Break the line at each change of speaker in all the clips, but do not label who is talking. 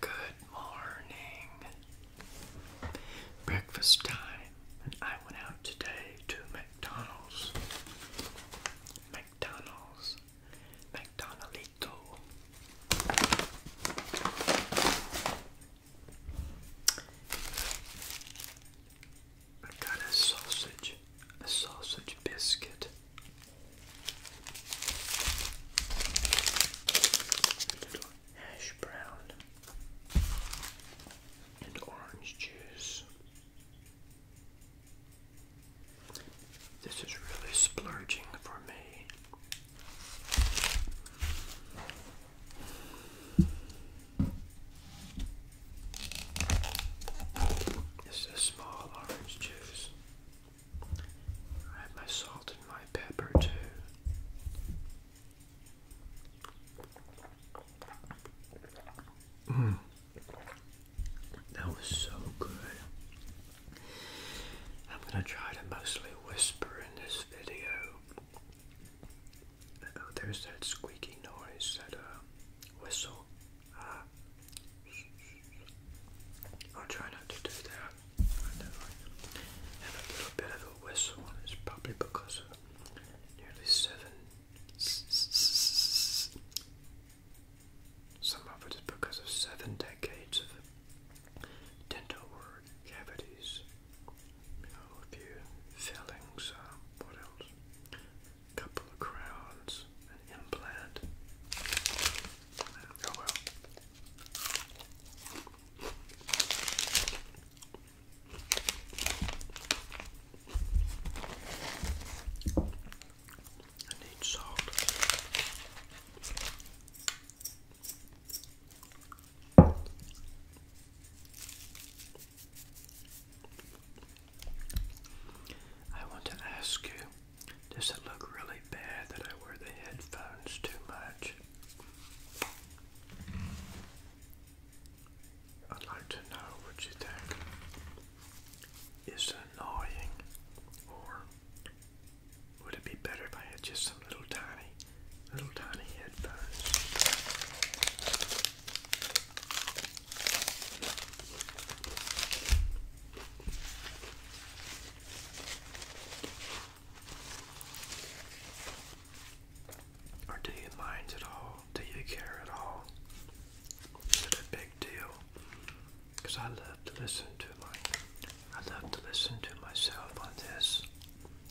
Good morning. Breakfast time, and I went out today to McDonald's. McDonald's. McDonaldito. I got a sausage, a sausage biscuit, hash brown and orange juice. This is really splurging for me. It's a small orange juice. I have my salt and my pepper too. Mm. That was so good. I'm going to try to mostly whisper in this video. Oh, there's that squeaky noise, that uh, whistle. Uh, I'll try not to do that. I a little bit of a whistle, and probably because of nearly seven. Some of it is because of seven decades of dental work, cavities, you know, a few fillings, uh, what else? A couple of crowns, was an implant. I need salt. I want to ask you, does it look really bad that I wear the headphones too much? I'd like to know what you think. Is it annoying or would it be better if I had just some little tiny, little tiny headphones? do you mind at all? Do you care at all? Is it a big deal? Because I love to listen to my, I love to listen to myself on this,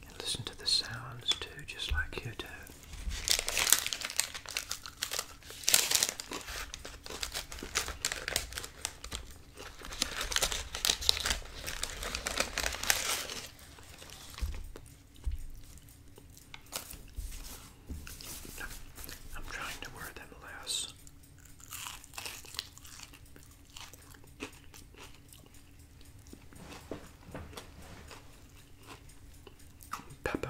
and listen to the sounds too, just like you do. I'm trying to wear them less. Pepper.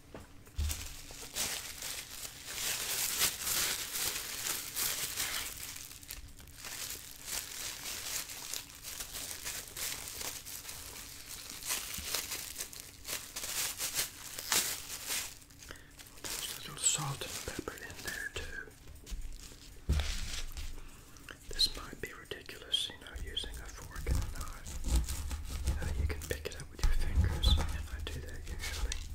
Just a little salt and pepper in there too. This might be ridiculous, you know, using a fork and a knife. You uh, know, you can pick it up with your fingers, and I do that usually.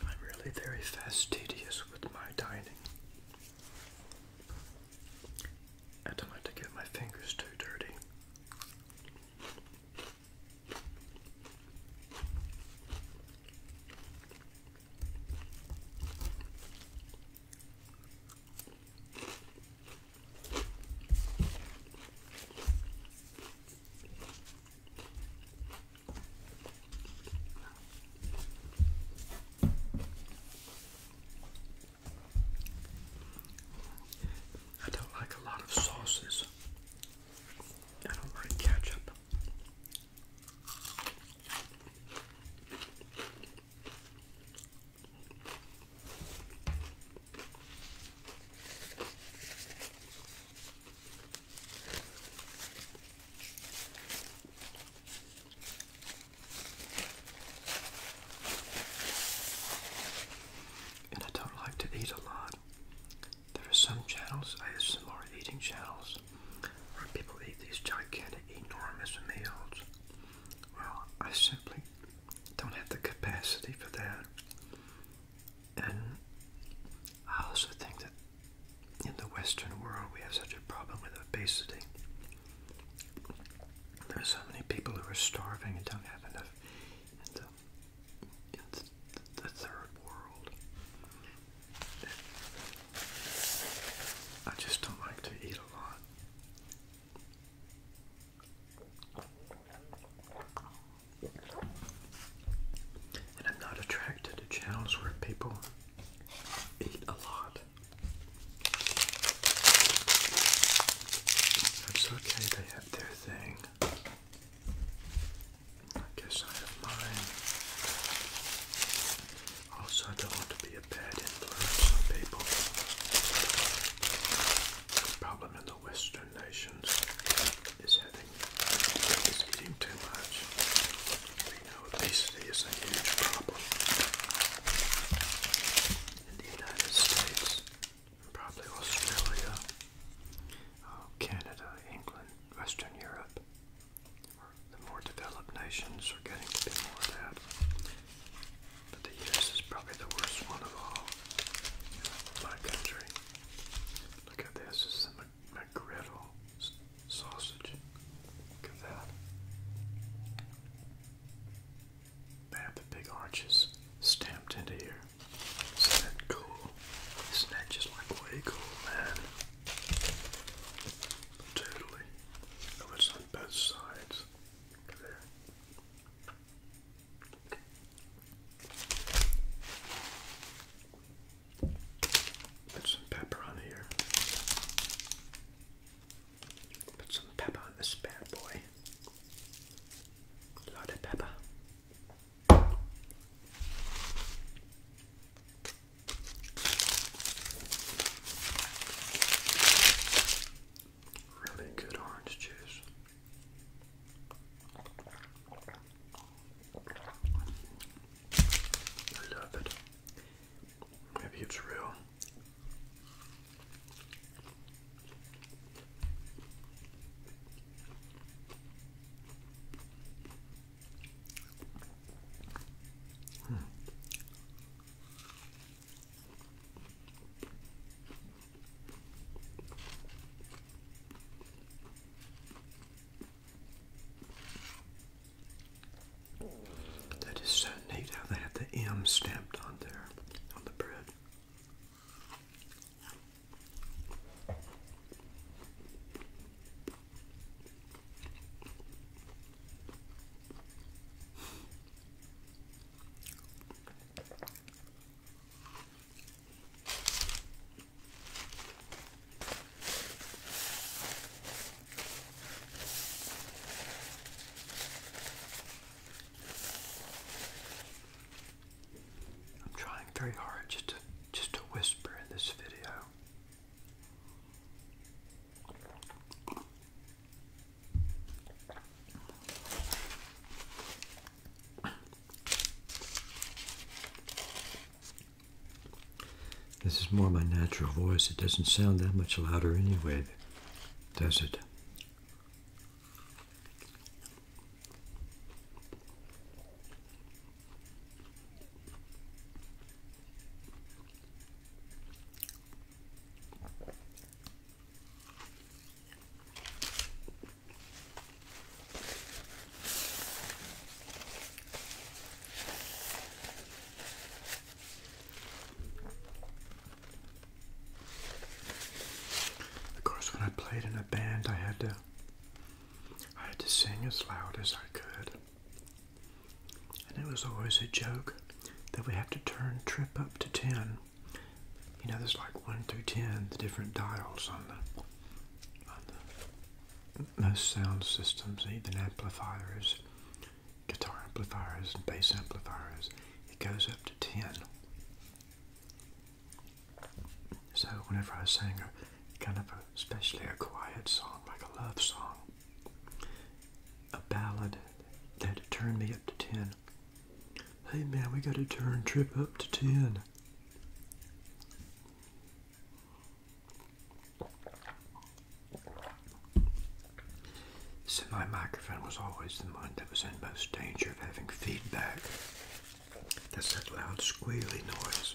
I'm really very fastidious with my dining. I don't like to get my fingers too dirty. I don't like a lot of sauces. I don't like ketchup. And I don't like to eat a lot. There are some channels, ASMR eating channels, where people eat these gigantic, enormous meals. Well, I simply don't have the capacity for that. And I also think that in the Western world we have such a problem with obesity. There are so many people who are starving and don't have enough in the, the third world. I just don't like to eat a lot. And I'm not attracted to channels where people eat a lot. That's okay, they have their thing. I guess I have mine. Also, I don't want to be a bad influence on people. The problem in the Western nations is having is eating too much. We know obesity is a huge problem. In the United States, probably Australia, oh, Canada, England, Western Europe, the more developed nations are getting to be more of that. But the US is probably the worst one of all. My country. Look at this. It's the McGriddle sausage. Look at that. They have the big arches stamped into here. Isn't that cool? Isn't that just like way cool, man? Totally. Oh, it's both sides. Put some pepper on here. Put some pepper on this bad boy. A pepper. Really good orange juice. I love it. Maybe it's real. Hmm. That is so neat how they have the M stamped on there, on the bread. I'm trying very hard just to just to whisper in this video. This is more my natural voice. It doesn't sound that much louder anyway, does it? Of course, when I played in a band, I had to I had to sing as loud as I could. And it was always a joke that we have to turn trip up to 10. You know, there's like 1 through 10, the different dials on the, on the most sound systems, even amplifiers, guitar amplifiers, bass amplifiers. It goes up to 10. So whenever I sang a kind of a, especially a quiet song, like a love song, a ballad that turned me up to 10. Hey man, we gotta turn Trip up to 10. So my microphone was always the one that was in most danger of having feedback. That's that loud squealy noise.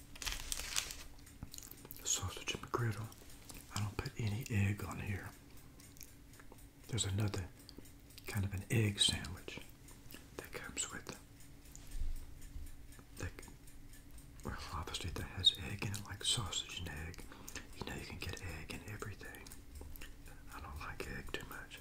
Sausage and griddle. I don't put any egg on here. There's another kind of an egg sandwich that comes with that well obviously that has egg in it like sausage and egg. You know you can get egg in everything. I don't like egg too much.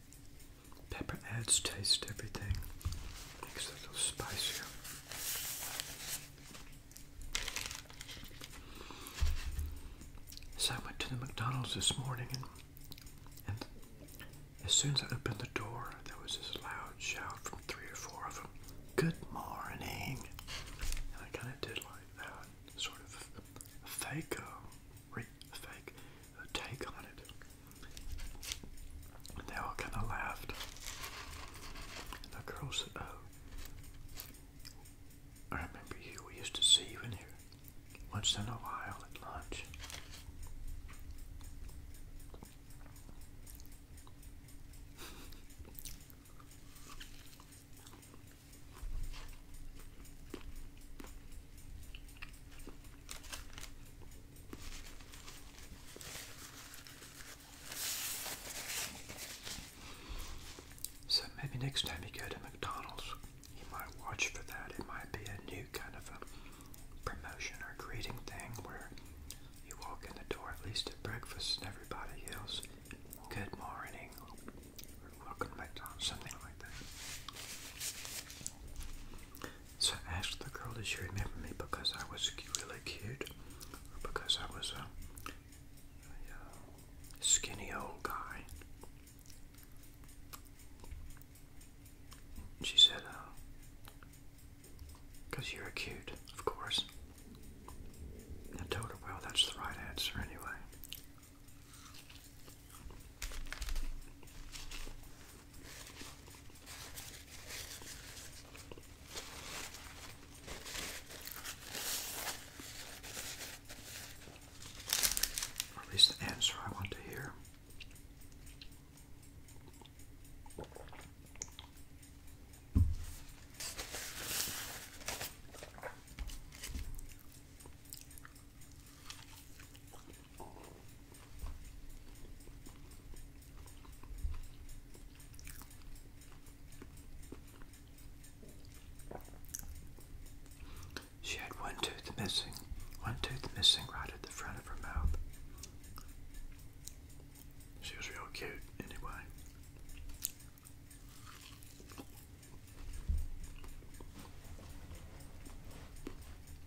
Pepper adds taste to everything. Makes it a little spicier. So I went to the McDonald's this morning and, as soon as I opened the door, there was this loud shout from three or four of them, good morning. And I kind of did like that, sort of fake, uh, fake take on it. And they all kind of laughed. the girl said, Oh, uh, I remember you. We used to see you in here once in a while at lunch. So maybe next time you go to McDonald's, you might watch for that. It might be a new kind of a promotion or greeting thing where you walk in the door, at least at breakfast, and everybody yells, Good morning, or welcome to something like that. So I asked the girl, did she remember me because I was really cute or because I was a, uh, skinny old guy? She said, uh, because you're cute, of course. I told her, well, that's the right answer anyway. Or at least the answer I want to hear. She had one tooth missing, one tooth missing right at the front of her mouth. She was real cute, anyway.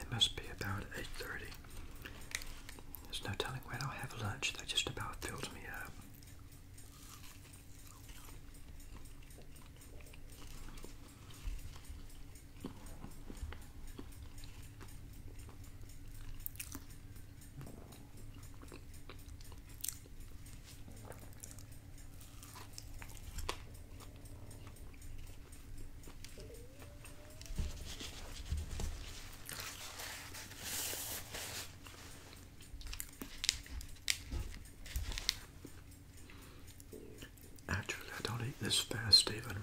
It must be about 8.30. There's no telling when I'll have lunch. That just about filled me up. Actually, I don't eat this fast, even.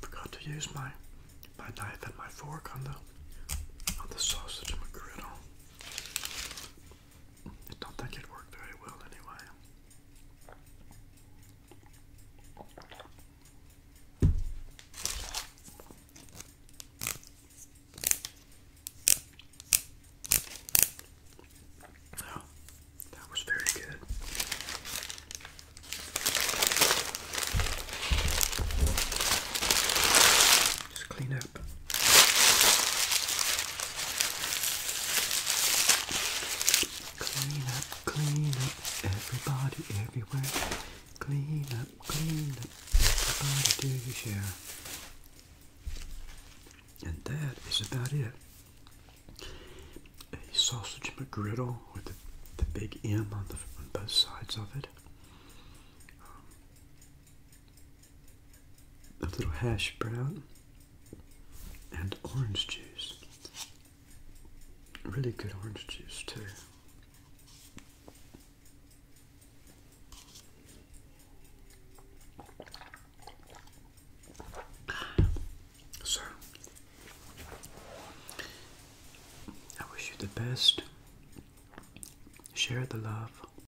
Forgot to use my my knife and my fork on the on the sausage McGriddle. I don't think it worked very well anyway. Oh, that was very good. Just clean up Clean up, clean up, everybody everywhere. Clean up, clean up, everybody do your share. And that is about it. A sausage McGriddle with the, the big M on, the, on both sides of it a little hash brown and orange juice. Really good orange juice, too. So, I wish you the best. Share the love,